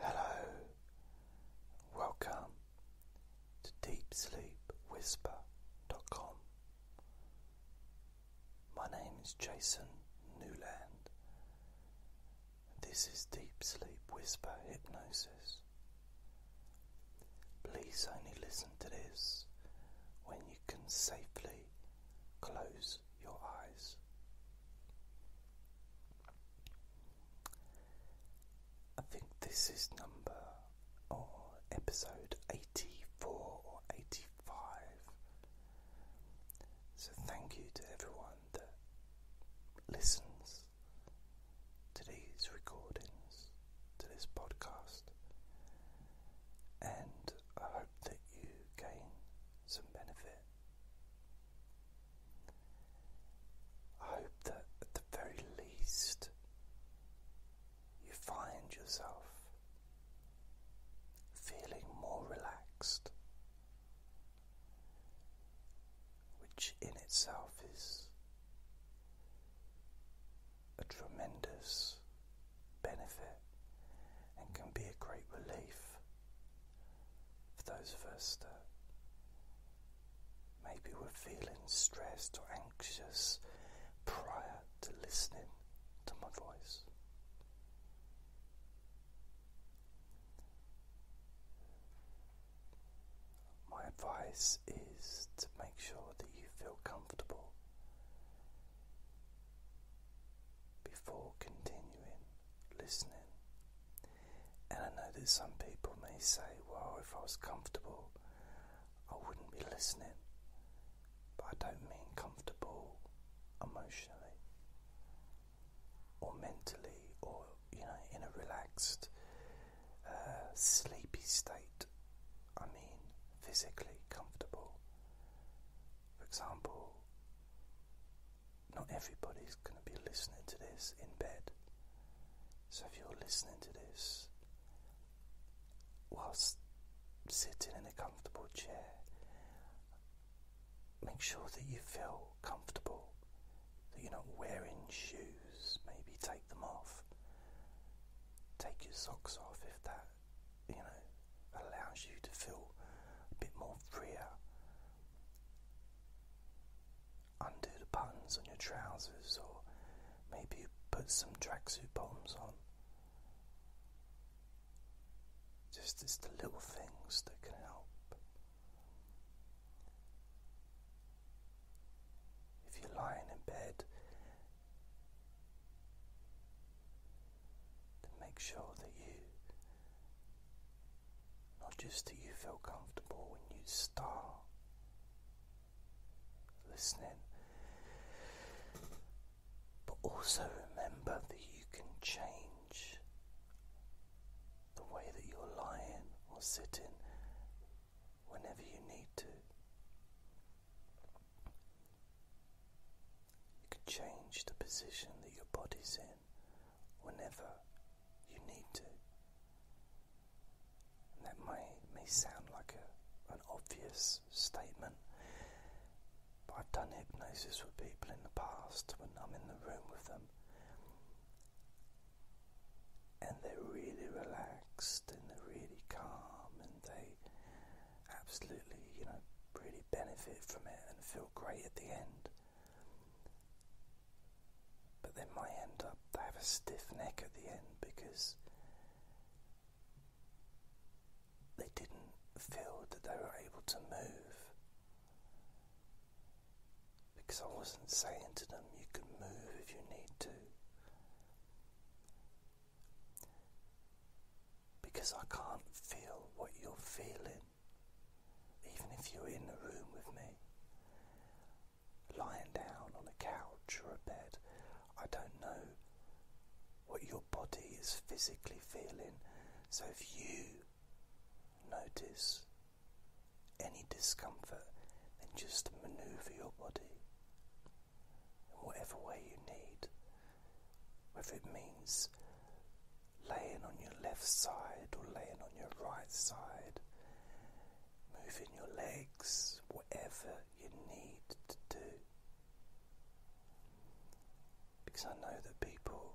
Hello, welcome to DeepSleepWhisper.com. My name is Jason Newland. This is Deep Sleep Whisper Hypnosis. Please only listen to this when you can safely close your eyes. I think this is number or episode 84 or 85. So, thank you to everyone that listens to these recordings, to this podcast, and I hope that you gain some benefit I hope that at the very least you find yourself feeling more relaxed, which in itself is a tremendous benefit and can be a great relief. For those of us that maybe were feeling stressed or anxious prior to listening to my voice. My advice is to make sure that you feel comfortable before continuing listening. And I know that some people may say, well, if I was comfortable, I wouldn't be listening. But I don't mean comfortable emotionally or mentally or, you know, in a relaxed, uh, sleepy state. I mean physically comfortable. For example, not everybody's going to be listening to this in bed. So if you're listening to this whilst sitting in a comfortable chair, make sure that you feel comfortable, that you're not wearing shoes, maybe take them off. Take your socks off if that, you know, allows you to feel a bit more freer undo the buttons on your trousers, or maybe you put some tracksuit bombs on. Just it's the little things that can help. If you're lying in bed, make sure that you not just do you feel comfortable when you start listening, but also remember that you can change the way that you're lying or sitting whenever you need to. You can change the position that your body's in whenever you need to. And that may, may sound like an obvious statement, but I've done hypnosis with people in the past when I'm in the room with them. And they're really relaxed and they're really calm and they absolutely, you know, really benefit from it and feel great at the end but they might end up they have a stiff neck at the end because they didn't feel that they were able to move because I wasn't saying to them you can move if you need to because I can't feel what you're feeling even if you're in a room with me, lying down on a couch or a bed, I don't know what your body is physically feeling. So if you notice any discomfort, then just maneuver your body in whatever way you need, whether it means laying on your left side or laying on your right side, moving your legs, whatever you need to do. Because I know that people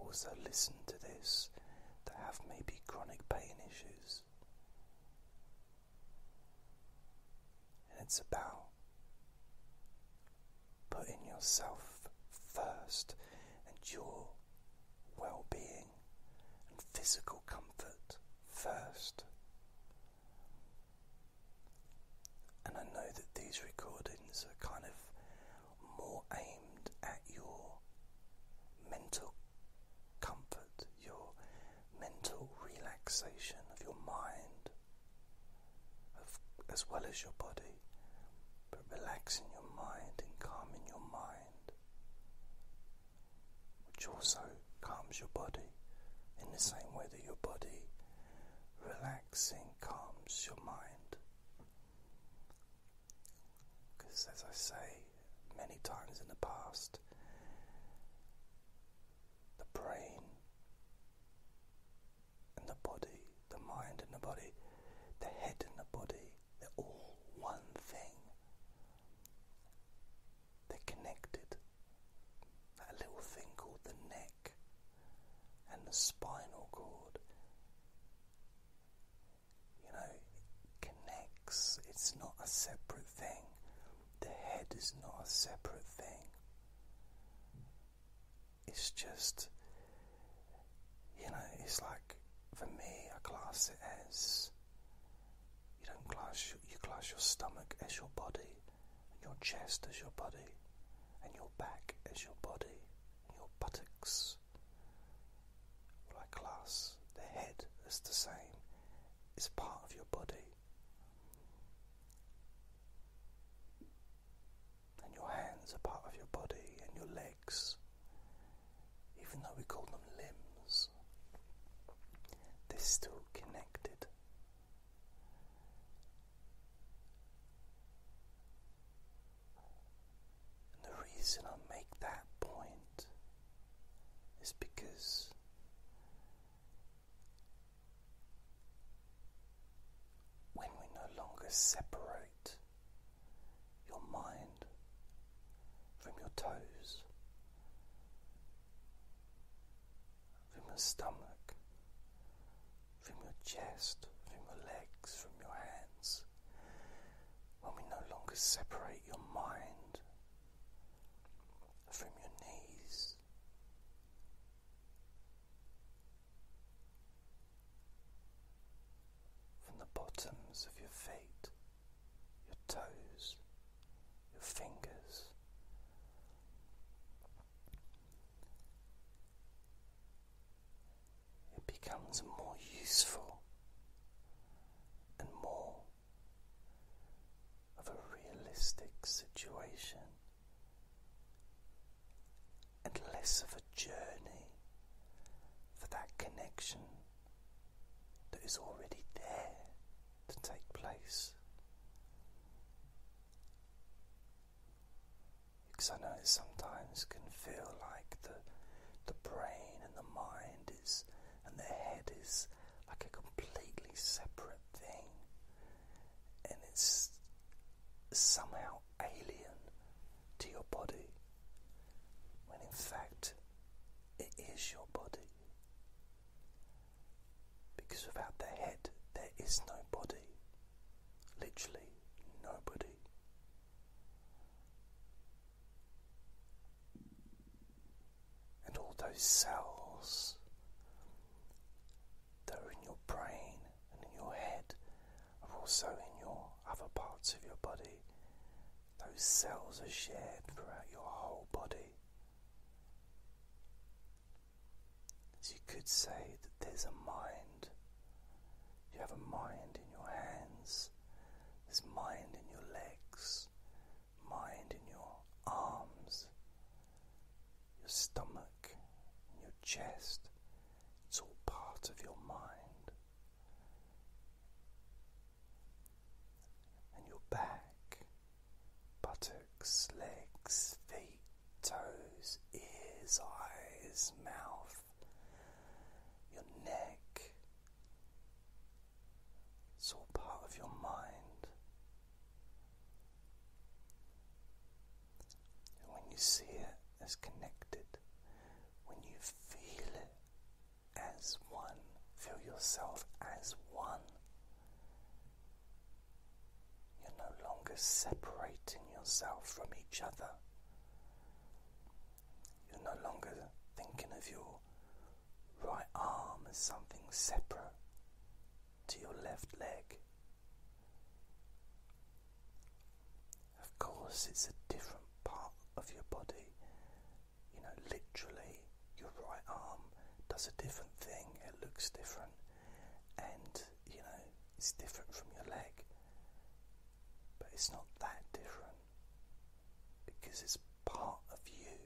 also listen to this that have maybe chronic pain issues. And it's about putting yourself first and your well being, and physical comfort first. And I know that these recordings are kind of more aimed at your mental comfort, your mental relaxation of your mind, as well as your body but relaxing your mind and calming your mind, which also calms your body in the same way that your body relaxing calms your mind. Because, as I say many times in the past, the brain and the body, the mind and the body, the head and the body they're all one thing. They're connected. That little thing called the neck and the spinal cord. You know, connects. It's not a separate thing. The head is not a separate thing. It's just you know, it's like for me, I class it as you don't class you class your stomach as your body, and your chest as your body, and your back as your body, and your buttocks. Well, I class the head as the same. It's part of your body and your hands are part of your body and your legs, even though we call them limbs, they're still connected. And the reason I make that point is because when we no longer separate your mind from your toes, from your stomach, from your chest, from your legs, from your hands. When we no longer separate your mind from your knees, from the bottoms of your feet, your toes, your fingers. It becomes more useful and more of a realistic situation and less of a journey for that connection that is already there to take place. Because I know it sometimes can feel like the the brain and the mind is and the head is like a completely separate thing and it's somehow alien to your body when in fact it is your body. Because without the head, there is no body. Literally, nobody. And all those cells that are in your brain and in your head are also in your other parts of your body. Those cells are shared throughout your whole body. So you could say that there's a mind. You have a mind in your hands, there's mind in your legs, mind in your arms, your stomach, your chest. It's all part of your mind and your back, buttocks, legs, feet, toes, ears, eyes, mouth, your neck. It's all part of your mind. And when you see it as connected, when you feel as one, feel yourself as one. You're no longer separating yourself from each other. You're no longer thinking of your right arm as something separate to your left leg. Of course, it's a different part of your body. You know, literally, your right arm does a different thing, it looks different, and you know, it's different from your leg, but it's not that different because it's part of you,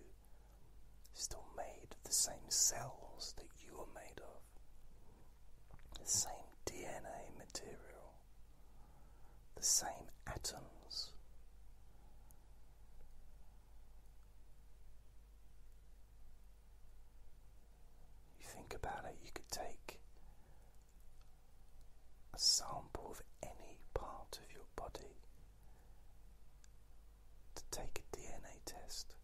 still made of the same cells that you are made of, the same DNA material the same atoms. You think about it, you could take a sample of any part of your body to take a DNA test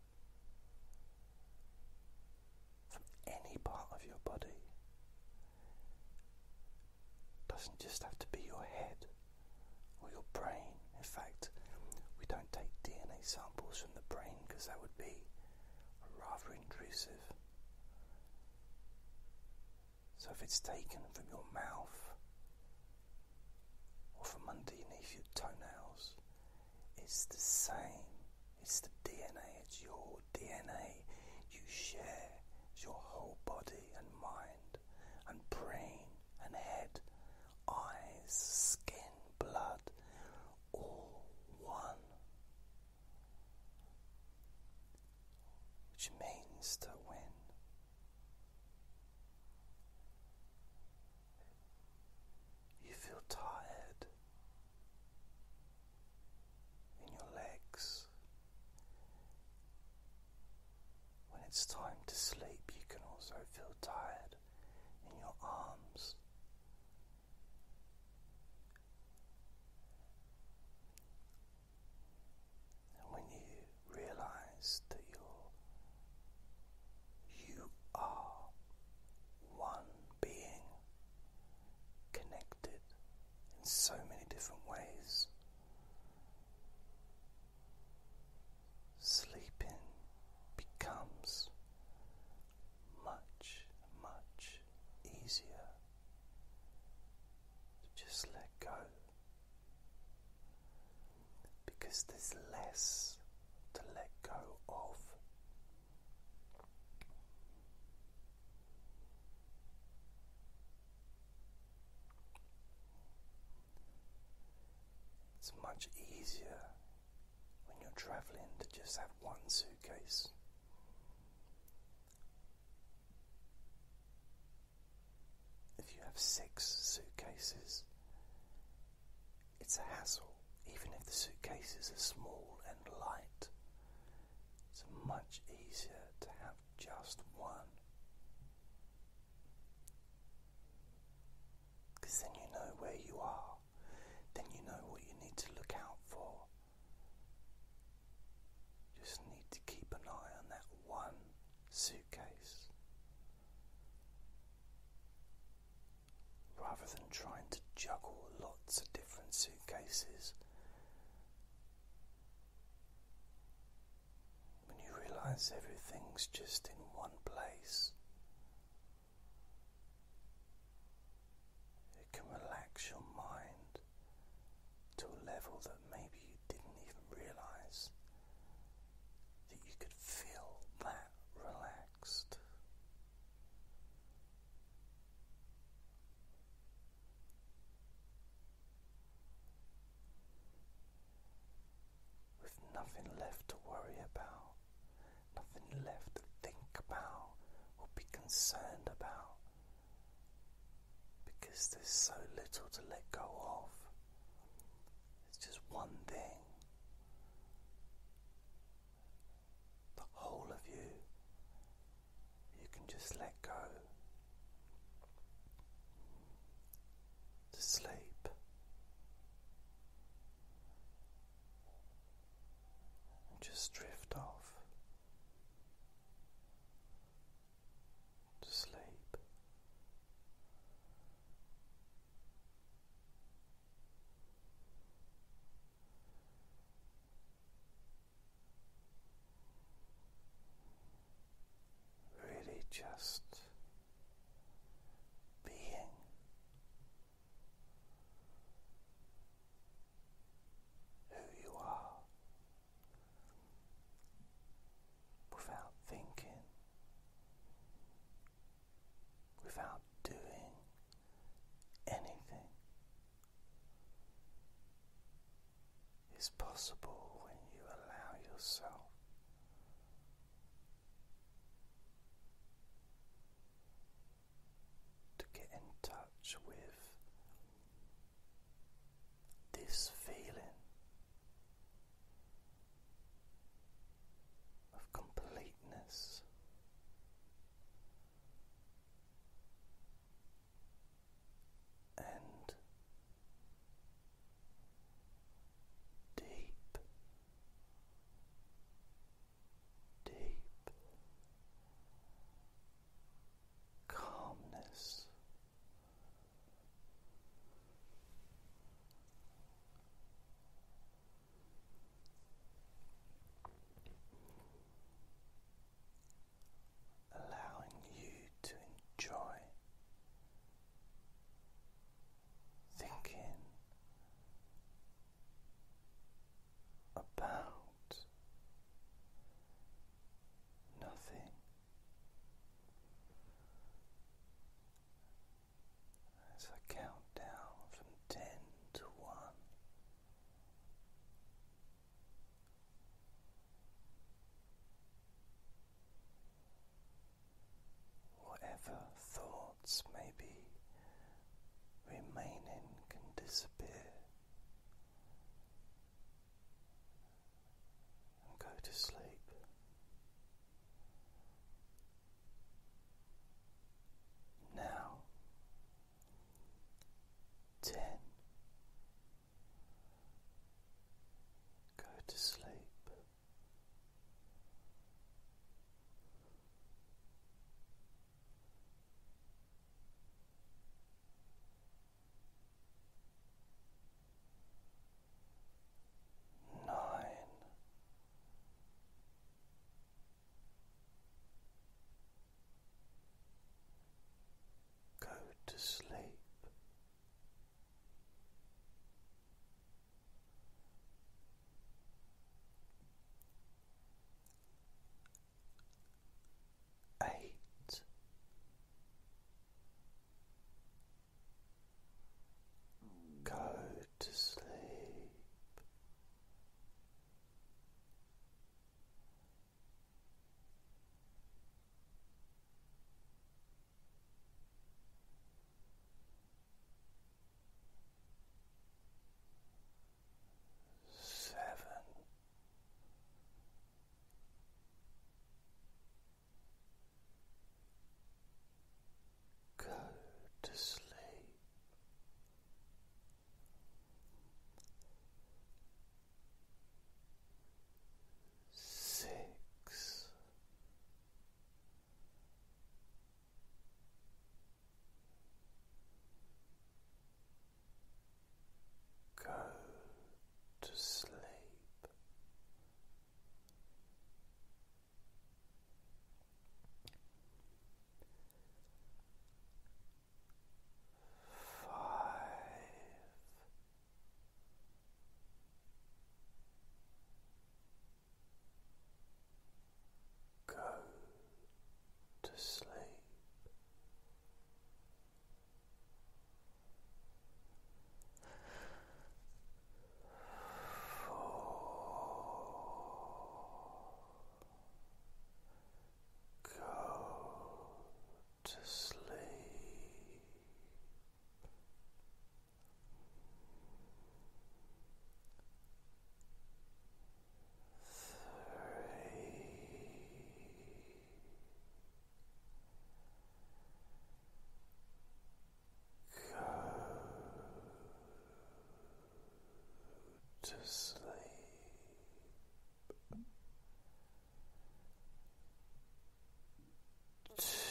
from any part of your body doesn't just have to be your head or your brain. In fact, we don't take DNA samples from the brain because that would be rather intrusive. So if it's taken from your mouth or from underneath your toenails, it's the same. It's the DNA, it's your DNA. You share your whole body and mind and brain and head, eyes, skin, blood, all one. Which means that when you feel tired, in your legs. When it's time to sleep, you can also feel tired in your arms. And when you realize that you're, you are one being connected in so many different ways. Sleeping becomes much, much easier just let go because there's less to let go of. It's much easier when you're traveling to just have one suitcase. If you have six suitcases, it's a hassle, even if the suitcases are small and light. It's much easier to have just one. then you know where you are, then you know what you need to look out for. You just need to keep an eye on that one suitcase rather than trying to juggle lots of different suitcases. When you realize everything's just in one place, it can relax your mind to a level that maybe you didn't even realize that you could feel that relaxed with nothing left to worry about, nothing left to think about or be concerned about because there's so little to let go of. It's just one thing. The whole of you you can just let go to sleep just drift off to sleep really just being. Who you are without thinking, without doing anything, is possible when you allow yourself to get in touch with this feeling of completeness and deep, deep calmness allowing you to enjoy thinking about nothing. As I count down from ten to one, Whatever thoughts may be remaining can disappear and go to sleep. Now, ten, Go to sleep. Nine. Go to sleep. Eight. Go to sleep. Seven. Go to sleep six, go to sleep five. Go to sleep. Four. Go to sleep. Three. Go to sleep two, go to sleep.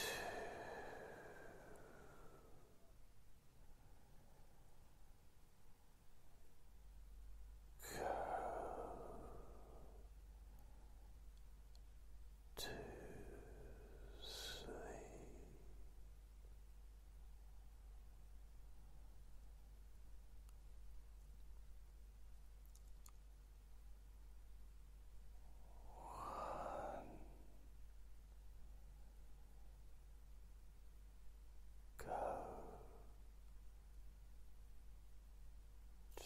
Go two sleep.